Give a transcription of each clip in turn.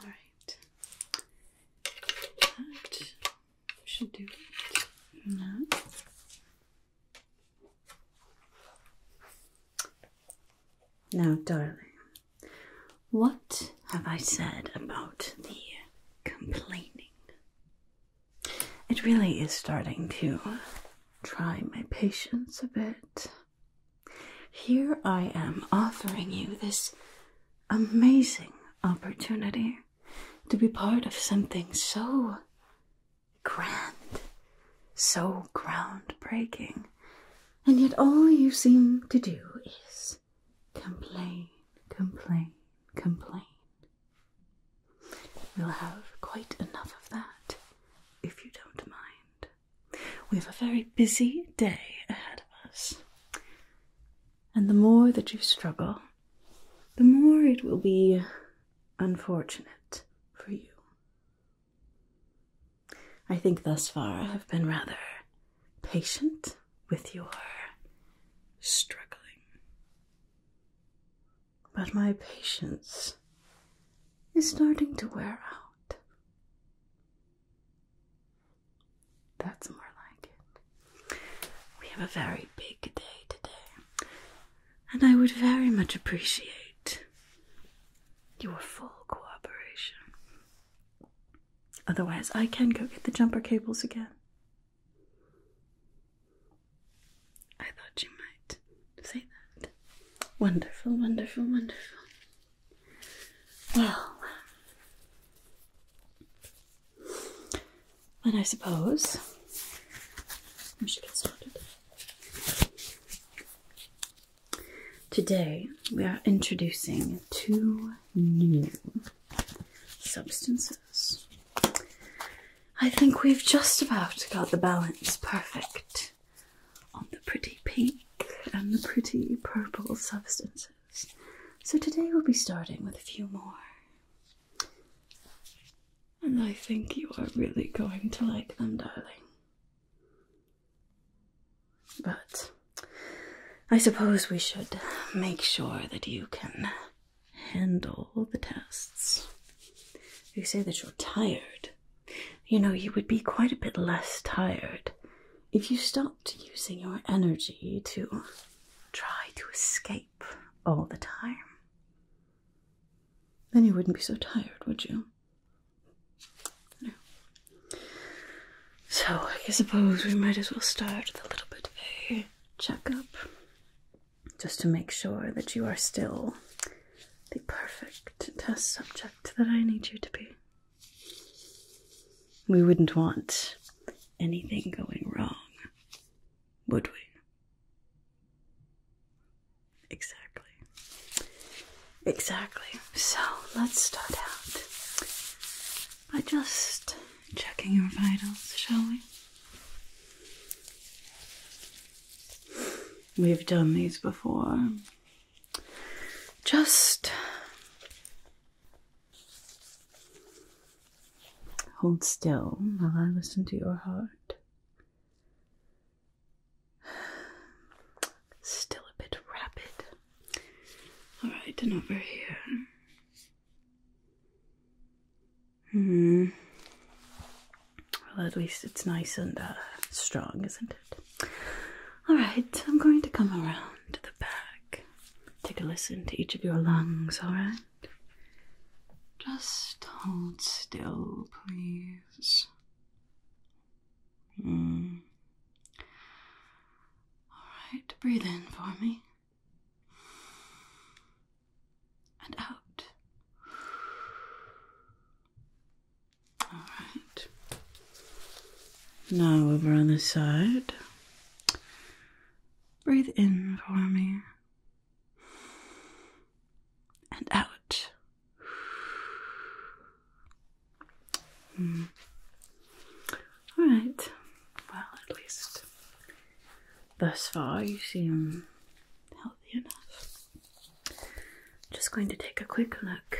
All right. That should do it Now, darling, what have I said about the complaining? It really is starting to try my patience a bit. Here I am offering you this amazing opportunity to be part of something so grand, so groundbreaking, and yet all you seem to do is complain, complain, complain. We'll have quite enough of that if you don't mind. We have a very busy day ahead of us. And the more that you struggle, the more it will be unfortunate for you. I think thus far I have been rather patient with your struggling. But my patience is starting to wear out. That's more like it. We have a very big day today, and I would very much appreciate your full cooperation. Otherwise, I can go get the jumper cables again. I thought you might say that. Wonderful, wonderful, wonderful. Well, then I suppose we should get started. Today we are introducing two new substances. I think we've just about got the balance perfect on the pretty pink and the pretty purple substances. So today we'll be starting with a few more. And I think you are really going to like them, darling. But I suppose we should make sure that you can handle the tests. You say that you're tired. You know, you would be quite a bit less tired if you stopped using your energy to try to escape all the time, then you wouldn't be so tired, would you? No. So, I suppose we might as well start with a little bit of a checkup just to make sure that you are still the perfect test subject that I need you to be. We wouldn't want anything going wrong, would we? Exactly. Exactly. So let's start out I just checking your vitals, shall we? We've done these before. Just hold still while I listen to your heart. Still a bit rapid. Alright, and over here. Hmm. Well, at least it's nice and uh, strong, isn't it? Alright, I'm going to come around to the back. Take a listen to each of your lungs, alright? Just hold still, please. Mm. Alright, breathe in for me. And out. Alright. Now over on the side. Breathe in for me. And out. Mm. Alright. Well, at least thus far you seem healthy enough. just going to take a quick look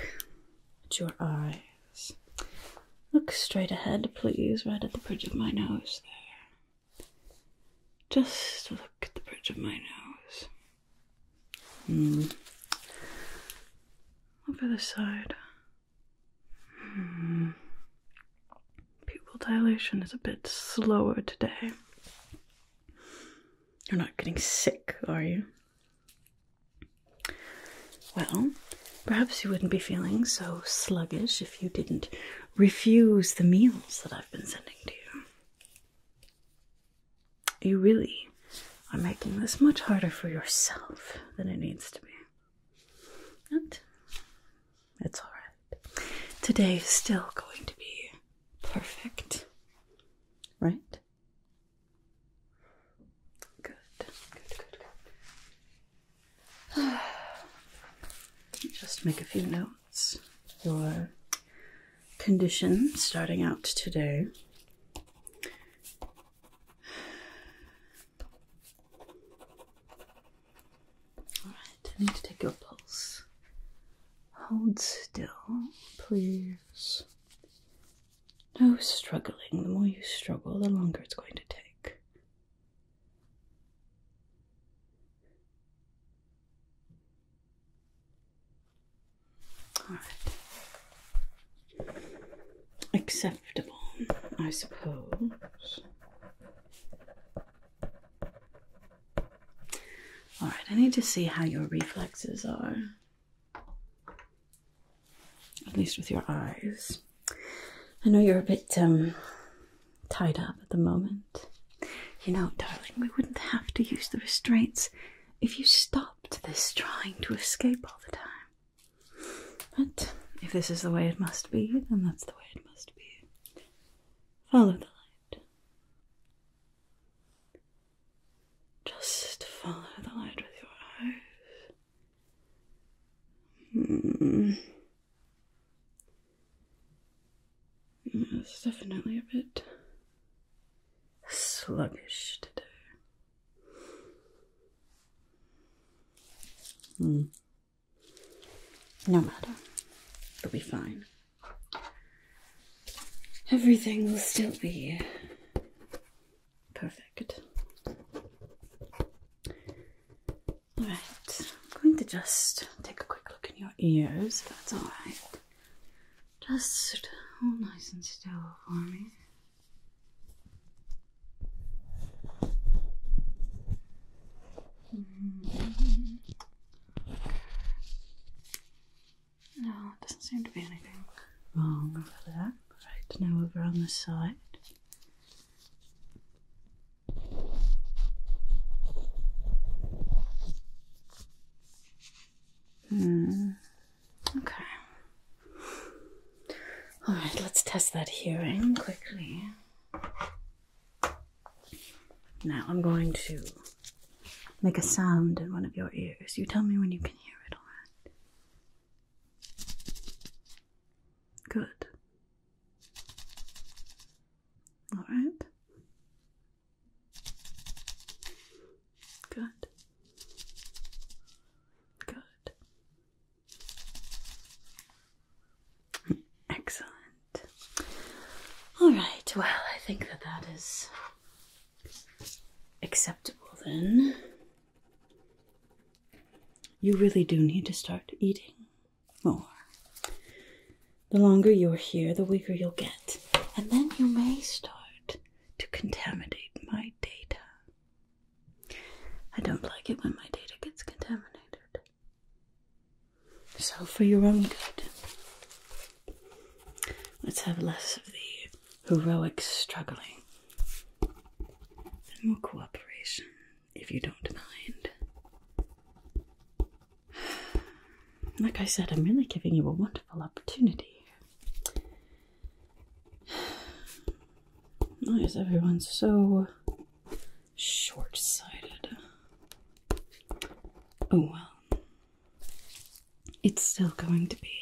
at your eye. Look straight ahead, please, right at the bridge of my nose there. Just look at the bridge of my nose. Hmm. Over the side. Hmm. Pupil dilation is a bit slower today. You're not getting sick, are you? Well, perhaps you wouldn't be feeling so sluggish if you didn't refuse the meals that I've been sending to you. You really are making this much harder for yourself than it needs to be. And it's alright. Today is still going to be perfect, right? Good, good, good, Just make a few notes. Your condition starting out today. All right, need to take your pulse. Hold still, please. No struggling. The more you struggle, the longer it's going to take. Acceptable, I suppose. Alright, I need to see how your reflexes are at least with your eyes. I know you're a bit um, tied up at the moment. You know, darling, we wouldn't have to use the restraints if you stopped this trying to escape all the time. But if this is the way it must be, then that's the way it must be. Follow the light. Just follow the light with your eyes. it's hmm. definitely a bit sluggish today. Hmm. No matter. It'll be fine. Everything will still be Perfect. Alright, I'm going to just take a quick look in your ears, that's alright. Just hold nice and still for me. Mm-hmm. No, it doesn't seem to be anything wrong over there. Right, now over on the side. Hmm. Okay. All right, let's test that hearing quickly. Now I'm going to make a sound in one of your ears. You tell me when you can hear it, alright? Good. Alright? Good. Good. Excellent. Alright, well, I think that that is acceptable then. You really do need to start eating more. The longer you're here, the weaker you'll get, and then you may start to contaminate my data. I don't like it when my data gets contaminated. So, for your own good, Let's have less of the heroic struggling and more cooperation, if you don't mind. Like I said, I'm really giving you a wonderful opportunity. Why is everyone so short sighted? Oh well, it's still going to be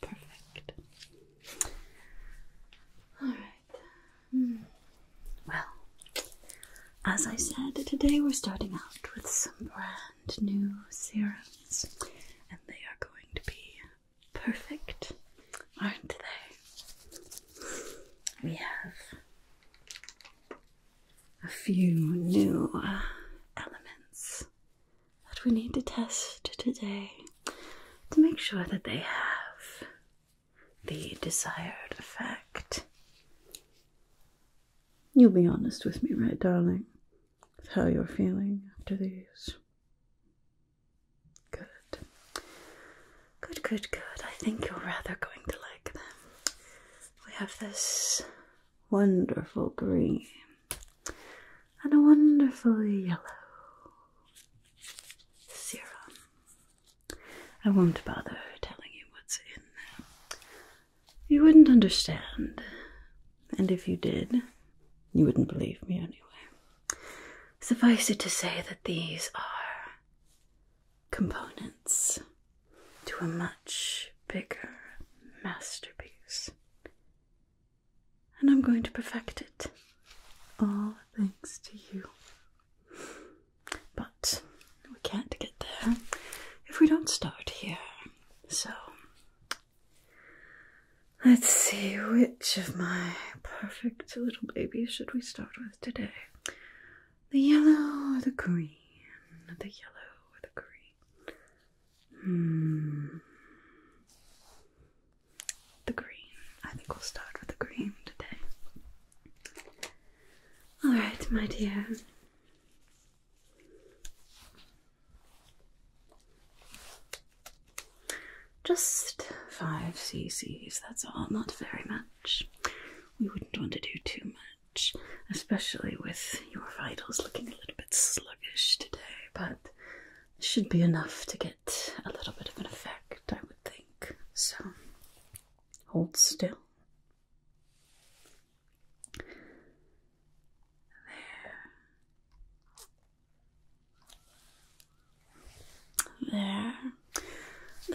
perfect. Alright. Hmm. Well, as I said, today we're starting out with some brand new serums, and they are going to be perfect, aren't they? We have a few new uh, elements that we need to test today to make sure that they have the desired effect. You'll be honest with me, right, darling, with how you're feeling after these. Good. Good, good, good. I think you're rather going to like them. We have this wonderful green and a wonderful yellow serum. I won't bother telling you what's in them. You wouldn't understand, and if you did, you wouldn't believe me anyway. Suffice it to say that these are components to a much bigger masterpiece. And I'm going to perfect it. All thanks to you. But we can't get there if we don't start here. So let's see which of my perfect little babies should we start with today? The yellow or the green? The yellow or the green? Hmm. The green. I think we'll start with the green today. Alright, my dear. Just five cc's, that's all, not very much. We wouldn't want to do too much especially with your vitals looking a little bit sluggish today, but it should be enough to get a little bit of an effect, I would think. So hold still. There. There.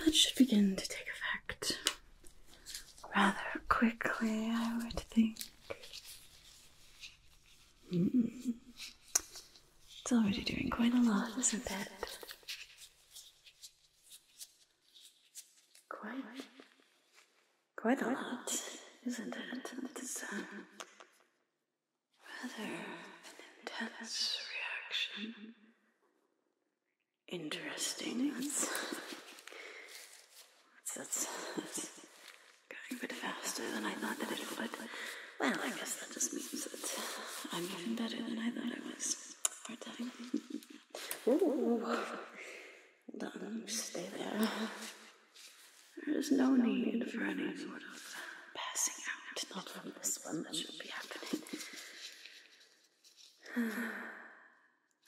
That should begin to take effect rather quickly, I would think. Hmm. It's already doing quite a lot, isn't it? Quite, quite a lot, isn't it? It's um, rather an intense reaction. Interesting. That's, going a bit faster than I thought that it would. Well, I guess that just means that I'm even better than I thought I was. Hard time. Ooh. Hold on, stay there. There is no need for any sort of passing out, not from this one that should be happening.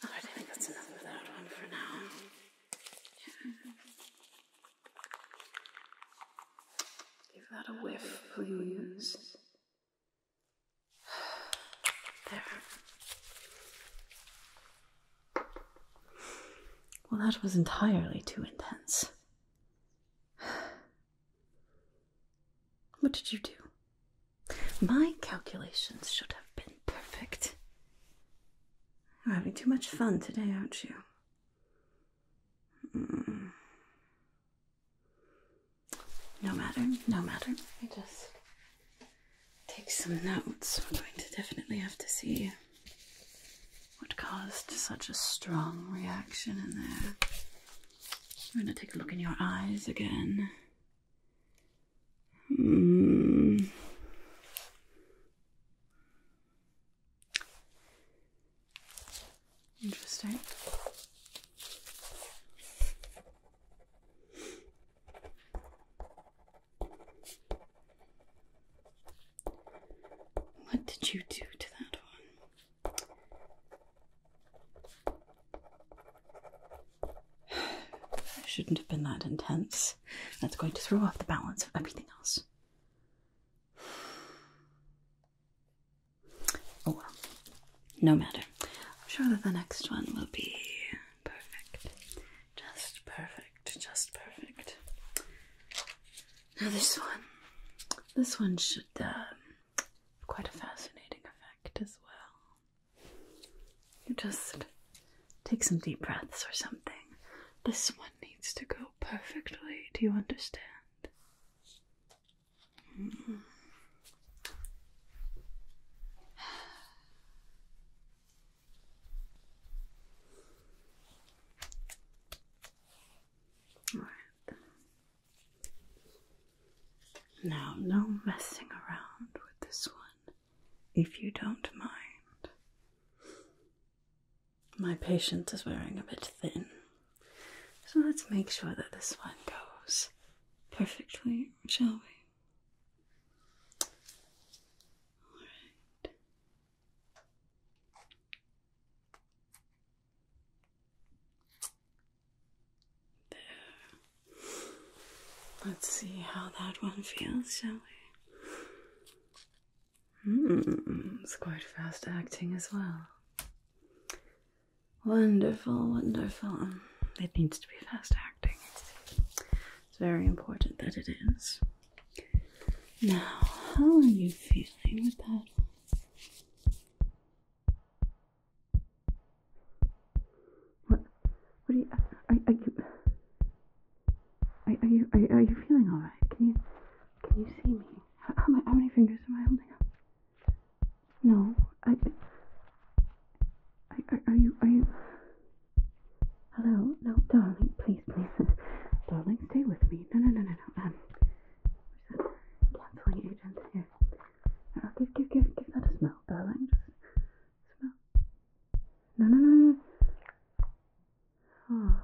Oh, I think that's another of one for now. Give that a whiff, please. There. Well, that was entirely too intense. What did you do? My calculations should have been perfect. You're having too much fun today, aren't you? Hmm. No matter, no matter. I just take some notes. We're going to definitely have to see what caused such a strong reaction in there. We're going to take a look in your eyes again. Hmm. Interesting. What did you do to that one? It shouldn't have been that intense. That's going to throw off the balance of everything else. Oh well, no matter. I'm sure that the next one will be perfect. Just perfect, just perfect. Now, this one, this one should um, quite a fascinating effect as well. You just take some deep breaths or something. This one needs to go perfectly. Do you understand? All right. Now, no messing around with this one, if you don't mind. My patient is wearing a bit thin, so let's make sure that this one goes perfectly, shall we? Alright. There. Let's see how that one feels, shall we? Mm, it's quite fast acting as well. Wonderful, wonderful. It needs to be fast acting. It's very important that it is. Now, how are you feeling with that? What? What are you? Are, are you? Are, are you? Are you? you feeling all right? Can you? Can you see me? How, how, many fingers am I holding up? No. I. I are, you? Are you? Hello? No, darling. Please, please, darling, stay with me. No, no, no, no, no. Um, who's that? here. Oh, give, give, give, give that a smell, darling. smell. No, no, no, no. Oh.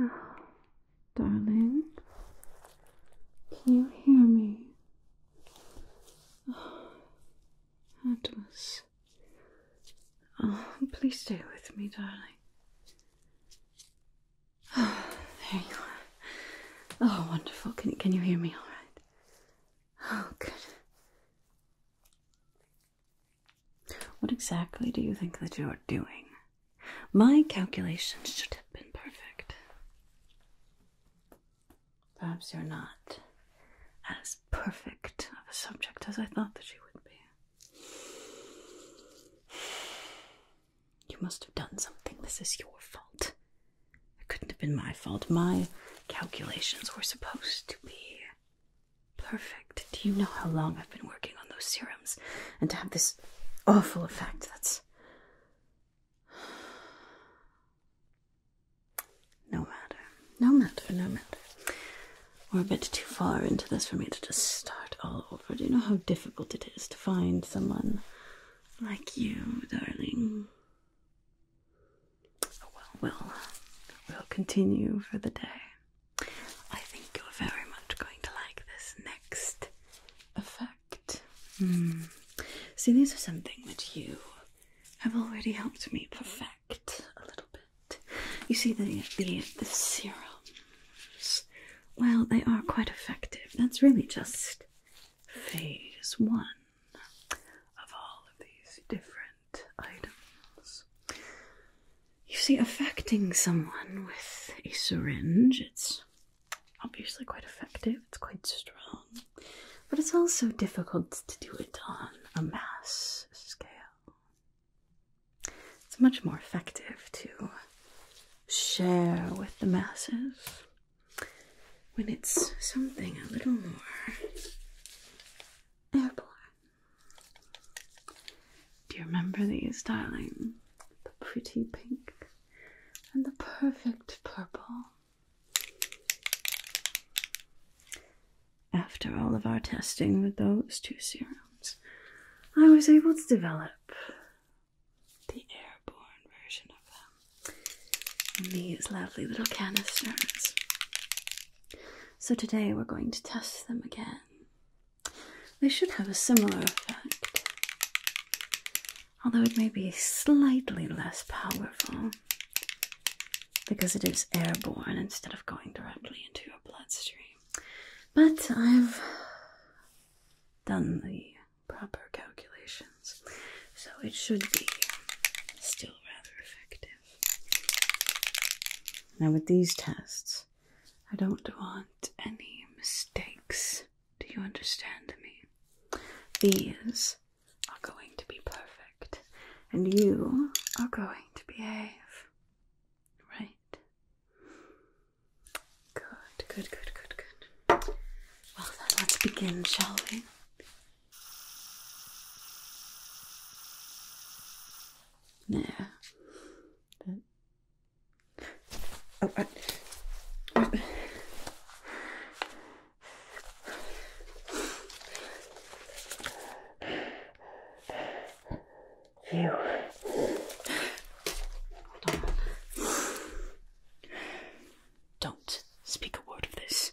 oh. Darling, can you hear me? Oh, that was Oh, please stay with me, darling. Oh, there you are. Oh, wonderful. Can, can you hear me all right? Oh, good. What exactly do you think that you are doing? My calculations should have been perfect. Perhaps you're not as perfect of a subject as I thought that you would be. You must have done something. This is your fault. It couldn't have been my fault. My calculations were supposed to be perfect. Do you know how long I've been working on those serums? And to have this awful effect, that's. No matter. No matter, no matter. We're a bit too far into this for me to just start all over. Do you know how difficult it is to find someone like you, darling? well, well, we'll continue for the day. I think you're very much going to like this next effect. Hmm. See, these are something that you have already helped me perfect a little bit. You see, the, the, the serums, well, they are quite effective. That's really just phase one of all of these different items. You see, affecting someone with a syringe, it's obviously quite effective, it's quite strong but it's also difficult to do it on a mass scale. It's much more effective to share with the masses when it's something a little more Do you remember these, darling? The pretty pink and the perfect purple. After all of our testing with those two serums, I was able to develop the airborne version of them in these lovely little canisters. So today we're going to test them again. They should have a similar effect although it may be slightly less powerful because it is airborne instead of going directly into your bloodstream. But I've done the proper calculations, so it should be still rather effective. Now, with these tests, I don't want any mistakes. Do you understand me? These are going to be perfect and you are going to behave. Right? Good, good, good, good, good. Well, then let's begin, shall we? Yeah. Oh, you. Don't speak a word of this.